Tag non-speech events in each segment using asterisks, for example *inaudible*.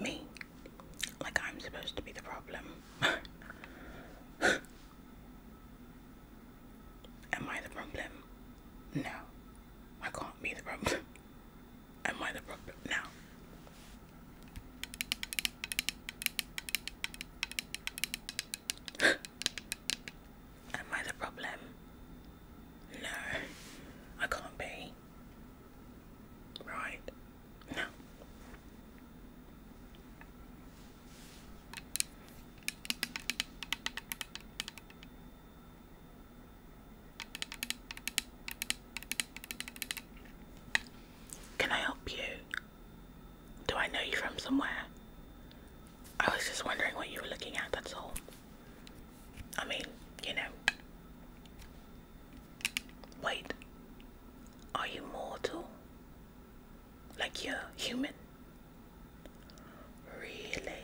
Me. Like I'm supposed to be the problem. Am I the problem? No. I can't be the problem. Am I the problem? No. Am I the problem? No, I can't be. Right? No. Can I help you? Do I know you from somewhere? I was just wondering what you were looking at, that's all. I mean, you know. Wait. Are you mortal? Like you're human? Really?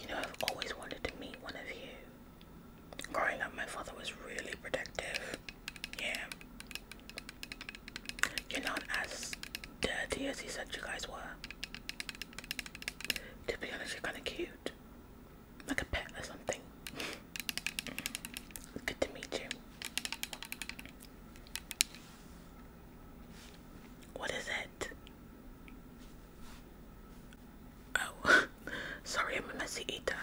You know, I've always wanted to meet one of you. Growing up, my father was really protective. Yeah. You're not as dirty as he said you guys were. To be honest, you're kind of cute. Like a pet or something. Good to meet you. What is it? Oh, *laughs* sorry, I'm a messy eater.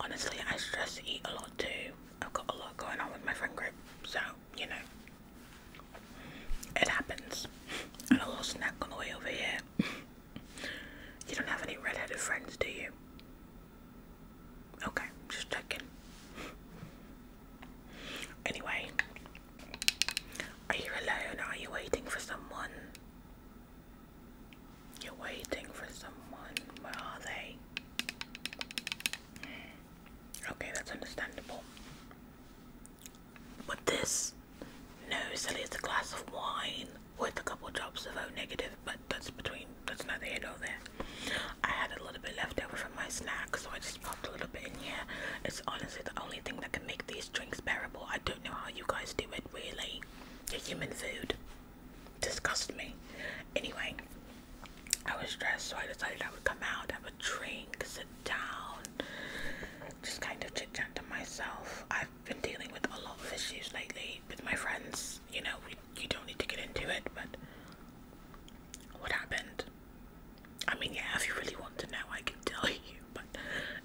Honestly, I stress eat a lot too. I've got a lot going on with my friend group, so you know, it happens. And a little snack on the way over here. you don't have any red-headed friends, do you? Okay, just checking. Anyway, are you alone? Are you waiting for someone? You're waiting for someone. Where are they? Okay, that's understandable. But this, no, silly, it's a glass of wine with a couple drops of O negative, but that's between, that's neither here nor there. I had a little bit left over from my snack, so I just popped a little bit in here. It's honestly the only thing that can make these drinks bearable. I don't know how you guys do it, really. Your human food disgusts me. Anyway, I was stressed, so I decided I would come out, have a drink, down, just kind of chit chat to myself. I've been dealing with a lot of issues lately with my friends. You know, we, you don't need to get into it, but what happened? I mean, yeah, if you really want to know, I can tell *laughs* you, but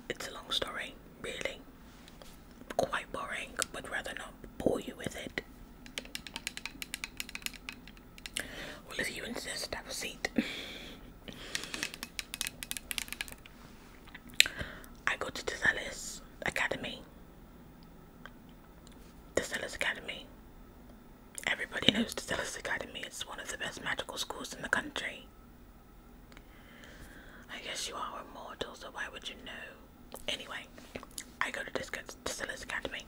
it's a long story, really. Quite boring, but rather not bore you with it. Well, if you insist, have a seat. I go to the Tizelis Academy. The Tizelis Academy. Everybody knows the Tizelis Academy. is one of the best magical schools in the country. I guess you are a mortal, so why would you know? Anyway, I go to the Tizelis Academy.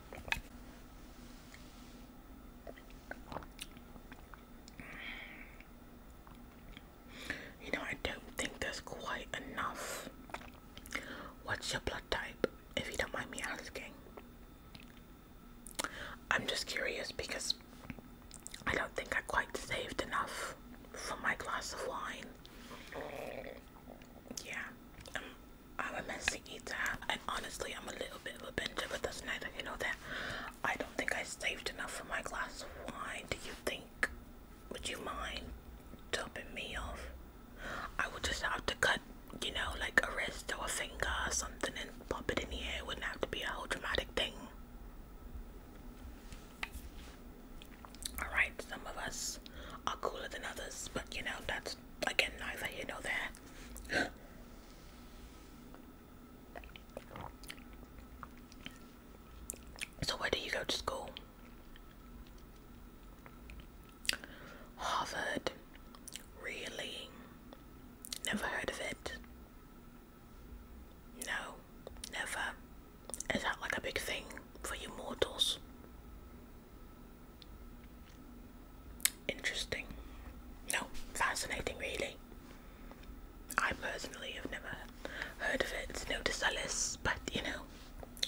You know, I don't think there's quite enough. What's your blood type, if you don't mind me asking? I'm just curious because I don't think I quite saved enough for my glass of wine. Yeah, um, I'm a messy eater, and honestly, I'm a little bit of a binger. but that's neither you know that. I don't think I saved enough for my glass of wine. Do you think? Would you mind topping me off? I would just have to cut, you know, like a wrist or a finger or something and pop it in the air. wouldn't have to be a whole dramatic thing. Alright, some of us are cooler than others, but you know, that's again neither you know that. So, where do you go to school? Harvard. Really? Never heard of it. No, never. Is that like a big thing for you mortals? Interesting. No, fascinating, really. I personally have never heard of it. no to Alice, but you know,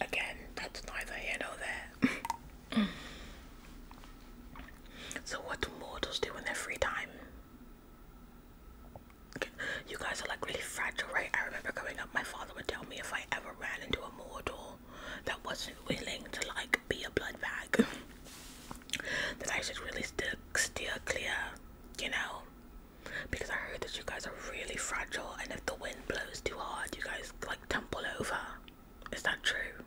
again, that's neither here nor there. so, what do mortals do in their free time? You guys are like really fragile, right? I remember growing up, my father would tell me if I ever ran into a mortal that wasn't willing to like be a blood bag that I should really stick steer clear, you know, because I heard that you guys are really fragile, and if the wind blows too hard, you guys like tumble over. Is that true?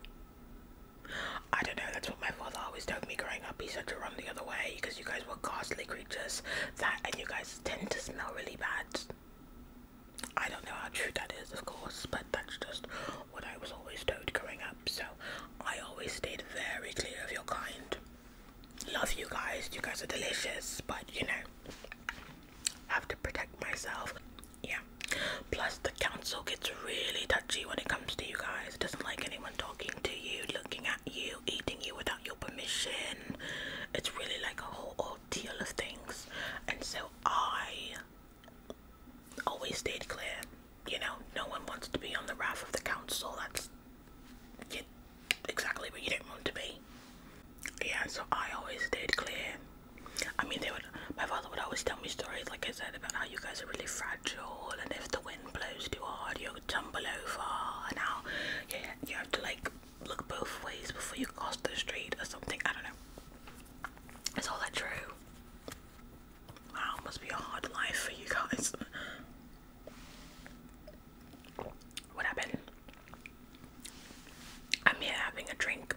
I don't know, that's what my father always told me growing up. He said to run the other way because you guys were ghastly creatures that and you guys tend to smell really bad. I don't know how true that is, of course, but that's just what I was always told growing up. So I always stayed very clear of your kind. Love you guys, you guys are delicious, but you know, have to protect myself. Yeah. Plus, the council gets really touchy when it comes to you guys. It doesn't like anyone talking to you, looking at you, eating you without your permission. It's really like a whole ordeal of things. And so I always stayed clear. You know, no one wants to be on the raft of the council. That's you, exactly what you did not want to be. Yeah, so I always stayed clear. I mean, they would. My father would always tell me stories, like I said, about how you guys are really fragile, and if the wind blows too hard, you'll tumble over, and how you, you have to like look both ways before you cross the street or something. I don't know. Is all that true? Wow, must be a hard life for you guys. What happened? I'm here having a drink.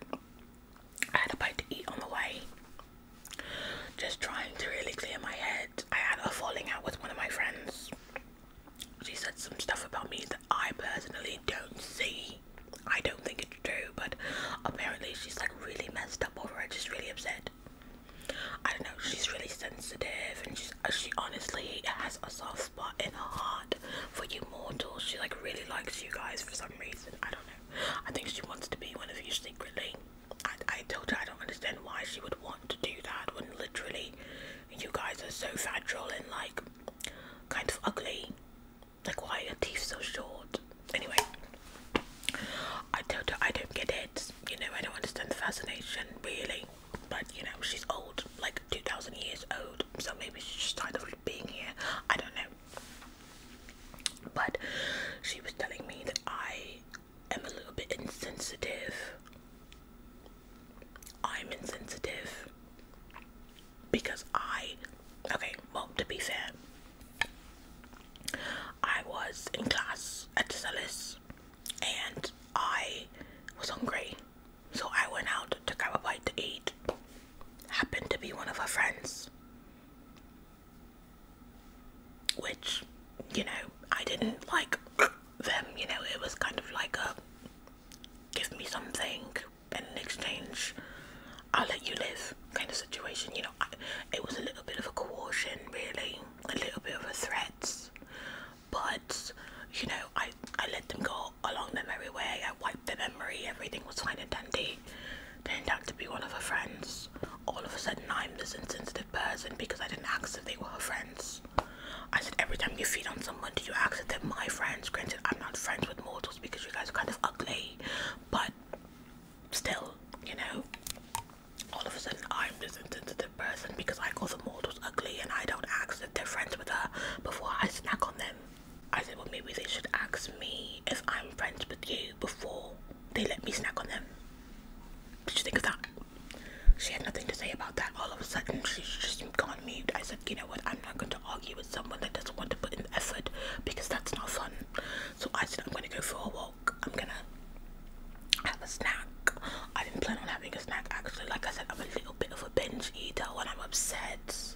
I had a bite to eat on the way. Just trying to really clear my head. I had a falling out with one of my friends. She said some stuff about me that I personally don't see. I don't think it true, but apparently she's like really messed up over it. She's really upset. I don't know. She's really sensitive, and she's uh, she honestly has a soft spot in her heart for you mortals. She like really likes you guys for some reason. I don't know. I think she wants to be one of you secretly. I I told her I don't understand why she would want to do that when literally you guys are so fragile and like kind of ugly. Like why are your teeth so short? Anyway, I don't I don't get it. You know, I don't understand the fascination really. But you know, she's old, like two thousand years old. So maybe she's tired of being here. I don't know. But she was telling me that I am a little bit insensitive. I'm insensitive because I, okay, well, to be fair, I was in class at the and I was hungry. So I went out to grab a bite to eat. Happened to be one of her friends. Which, you know, I didn't like them, you know, it was kind of like a give me something and in exchange, I'll let you live kind of situation. You know, it was a little bit of a coercion, really, a little bit of a threat, but you know, I, I let them go along their merry way. I wiped the memory, everything was fine and dandy. Turned out to be one of her friends. All of a sudden, I'm this insensitive person because I didn't ask if they were her friends. I said, every time you feed on someone, do you ask if they're my friends? Granted, I'm not friends with more because you guys are kind of ugly, but still, you know, all of a sudden I'm this insensitive person because I call the models ugly and I don't ask if they're friends with her before I snack on them. I said, well, maybe they should ask me if I'm friends with you before they let me snack on them. Did you think of that? She had nothing to say about that. All of a sudden, she just gone moved. I said, you know what, I'm not going to argue with someone that doesn't want to put in effort because that's not fun. So I said, I'm going to go for a walk. I'm going to have a snack. I didn't plan on having a snack actually. Like I said, I'm a little bit of a binge eater when I'm upset.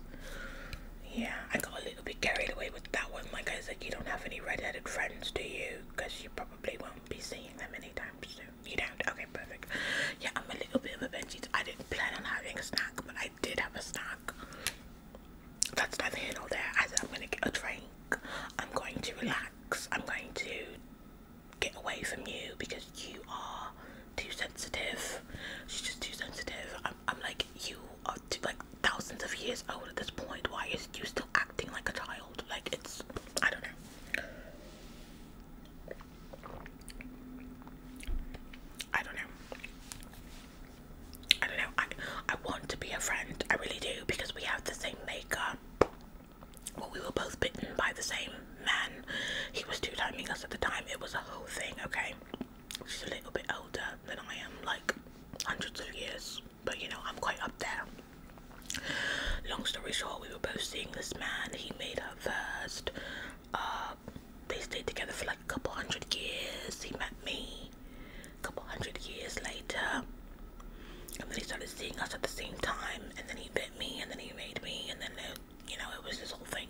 Yeah, I got a little bit carried away with that one. Like I said, you don't have any red-headed friends, do you? Because you probably won't be seeing them any time soon. You don't? Okay, perfect. Yeah, I'm a little bit of a binge eater. I didn't plan on having a snack, but I I did have a snack. That's neither here nor there. I I'm gonna get a drink. I'm going to relax. I'm going to get away from you because you are too sensitive. She's just too sensitive. I'm, I'm like you are too, like thousands of years old at this point. Why is you still acting like a child? Like it's I don't know. I don't know. I don't know. I I want to be a friend. I really do because we have the same makeup. Well, we were both bitten by the same man. He was two timing us at the time. It was a whole thing. Okay, she's a little bit older than I am, like hundreds of years. But you know, I'm quite up there. Long story short, we were both seeing this man. He made her first. Uh, they stayed together for like a couple hundred years. He met me a couple hundred years later. And then he started seeing us at the same time. And then he bit me. And then he made me. And then, it, you know, it was this whole thing.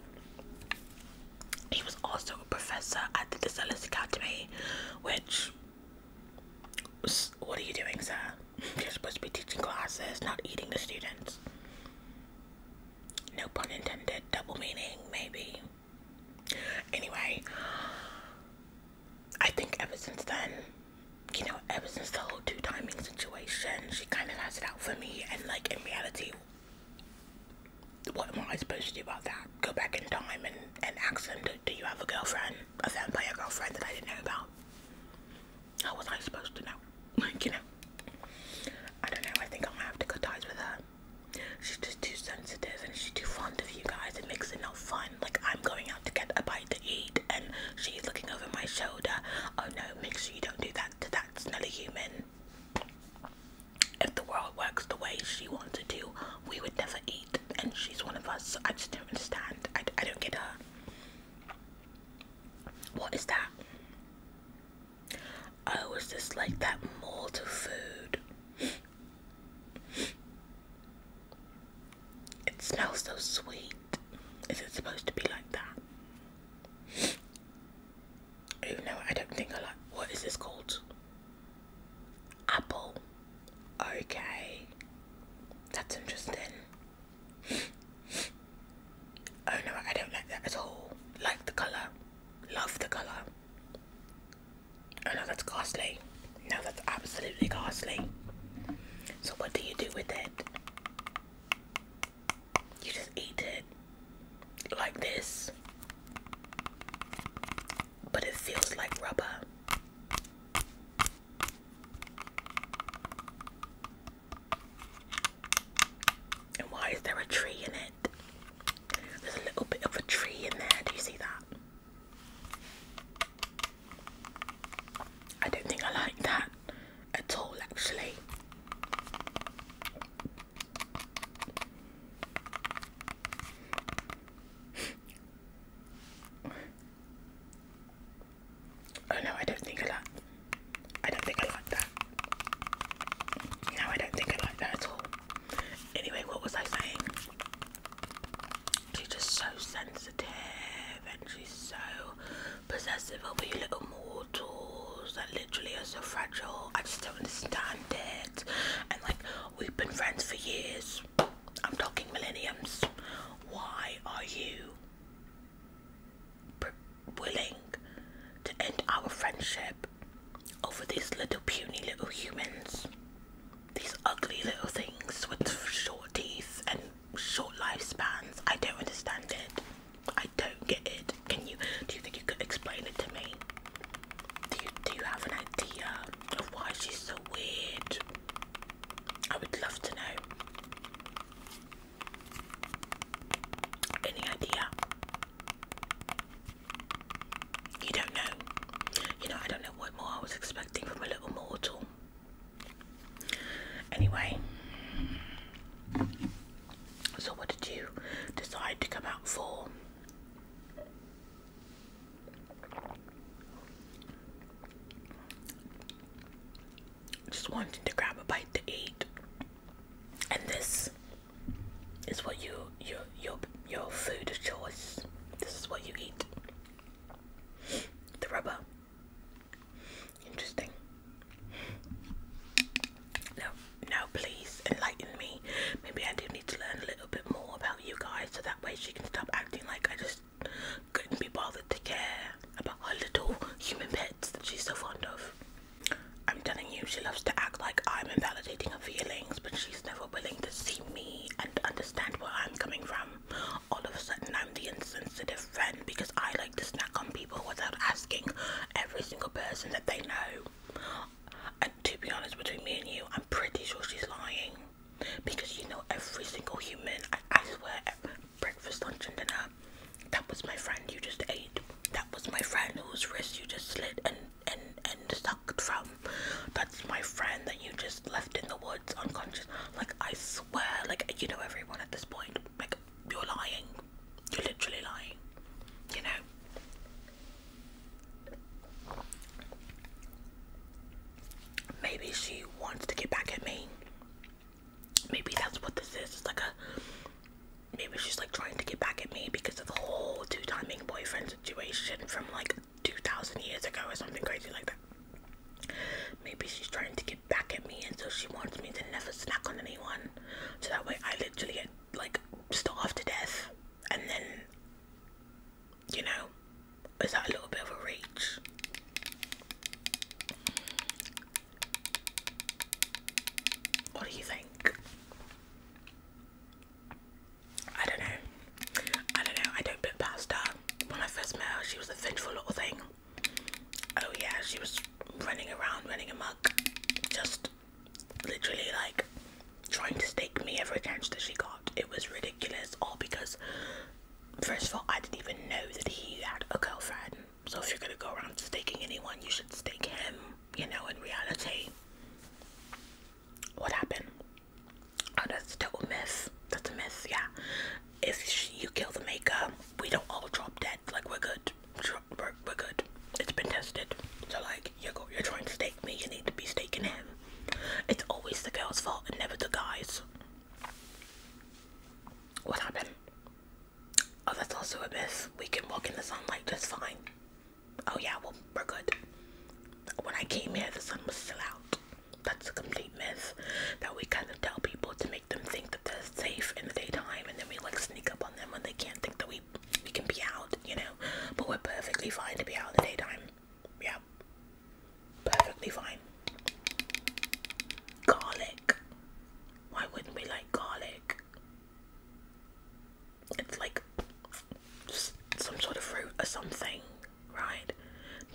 He was also a professor at the Desilis Academy, which. What are you doing, sir? *laughs* You're supposed to be teaching classes, not eating the students. No pun intended, double meaning, maybe. Anyway, I think ever since then, you know, ever since the whole two timing situation, she kind of has it out for me. And, like, in reality, what am I supposed to do about that? Go back in time and, and ask him, do, do you have a girlfriend? A vampire girlfriend that I didn't know about? How was I supposed to know? *laughs* Like, you know, I don't know. I think I'm gonna have to cut ties with her. She's just too sensitive and she's too fond of you guys. It makes it not fun. Like, I'm going out to get a bite to eat and she's looking over my shoulder. Oh no, make sure you don't do that to that smelly human. If the world works the way she wants it to, we would never eat. And she's one of us. I just don't understand. I, I don't get her. What is that? I always just like that mold food. It smells so sweet. Is it supposed to be like that? Even though I don't think I like. What is this called? Apple. Okay. That's interesting. Oh no, I don't like that at all. Like the colour. Love the colour. Oh no, that's ghastly. No, that's absolutely ghastly. So what do you do with it? You just eat it. Like this. But it feels like rubber. And why is there a tree in it? There's a little bit of a tree in there. Do you see that? I don't think I like that at all, actually. Oh no, I don't think I I don't think I like that. No, I don't think I like that at all. Anyway, what was I saying? She's just so sensitive and she's so possessive over you little mortals that literally are so fragile. I just don't understand it. And like, we've been friends for years. I'm talking millenniums. Why are you willing to end our friendship over these little puny little humans. These ugly little things with short teeth and short lifespans. I don't understand it. I don't get it. Can you do you think you could explain it to me? Do you do you have an idea of why she's so weird? I would love to know. Any idea? You don't know. You know, I don't know what more I was expecting from a little mortal. Anyway, so what did you decide to come out for? just wanting to grab a bite to eat. And this is what you your your your food of choice. This is what you eat. The rubber. Interesting. No, now please enlighten me. Maybe I do need to learn a little bit more about you guys so that way she can stop acting like I just couldn't be bothered to care about her little human pets that she's so fond of. I'm telling you, she loves to act like I'm invalidating her feelings, but she's never willing to see me and understand where I'm coming from. All of a sudden, I'm the insensitive friend because I like to snack on people without asking every single person that they know. And to be honest, between me and you, I'm pretty sure she's lying because you know every single human. I, swear, breakfast, lunch, and dinner. That was my friend you just ate. That was my friend whose wrist you just slid and and and sucked from. That's my friend that you just left in the woods unconscious. Like I swear, like you know everyone at this point. Like you're lying. You're literally lying. You know. Maybe she wants to get back at me. Maybe that's what this is. It's like a. Maybe she's like trying to get back at me because of the whole two timing boyfriend situation from like 2,000 years ago or something crazy like that. Maybe she's trying to get back at me and so she wants me to never snack on anyone. So that way I literally get like starved to death and then, you know, is that a little bit of a reach? What do you think? I don't know. I don't know. I don't put past When I first met her, she was a vengeful little thing. Oh yeah, she was running around, running amok, just literally like trying to stake me every chance that she got. It was ridiculous. All because, first of all, I didn't even know that he had a girlfriend. So if you're gonna go around staking anyone, you should stake him, you know, in reality. What happened? Oh, that's a total myth. That's a myth, yeah. If you kill the maker, we don't all drop dead. Like, we're good. We're, we're good. It's been tested. So, like, you're, go, you're trying to stake me, you need to be staking him. It's always the girl's fault and never the guy's. What happened? Oh, that's also a myth. We can walk in the sunlight just fine. Oh yeah, well, we're good. When I came here, the sun was still out. That's a complete myth that we kind of tell people to make them think that they're safe in the daytime, and then we like sneak up on them when they can't think that we we can be out, you know. But we're perfectly fine to be out in the daytime. Yeah, perfectly fine. Garlic. Why wouldn't we like garlic? It's like some sort of fruit or something, right?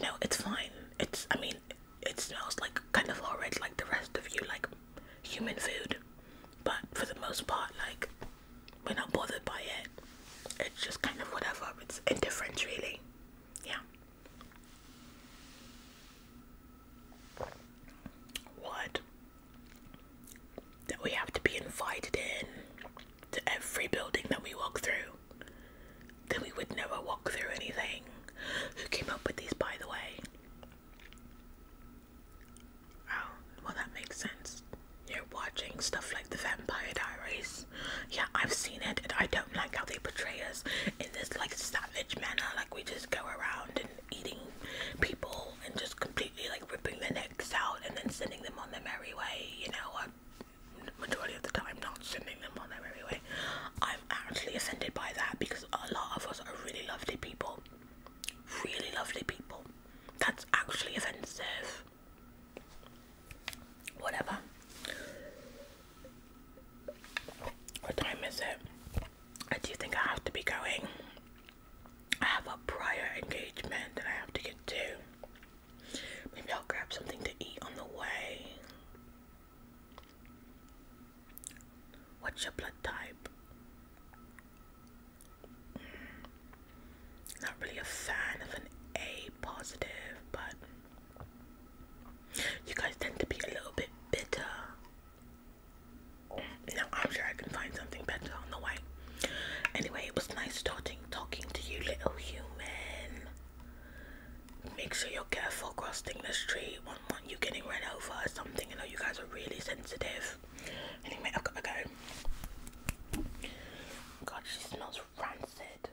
No, it's fine. It's, I mean, it smells like kind of horrid like the rest of you, like human food. But for the most part, like, we're not bothered by it. It's just kind of whatever. It's indifferent, really. Yeah. What? That we have to be invited in to every building that we walk through. That we would never walk through anything. Who came up with these, by the way? Oh, well, that makes sense. You're watching stuff like The Vampire Diaries. Yeah, I've seen it, and I don't like how they portray us in this like savage manner, like we just go around and eating people and just completely like ripping their necks out and then sending them on their merry way, you know. i uh, majority of the time not sending them on their merry way. I'm actually offended by that because a lot of us are really lovely people. Really lovely people. That's actually offensive. Whatever. What time is it? I do think I have to be going. I have a prior engagement that I have to get to. Maybe I'll grab something to eat on the way. What's your blood type? Not really a fan of an A positive, but you guys tend to be a little bit bitter. Now I'm sure I can find something better on the way. Anyway, it was nice starting talking to you, little human. Make sure you're careful crossing the street. One, one, you getting run over or something. I know you guys are really sensitive. Anyway, I've got to go. God, she smells rancid.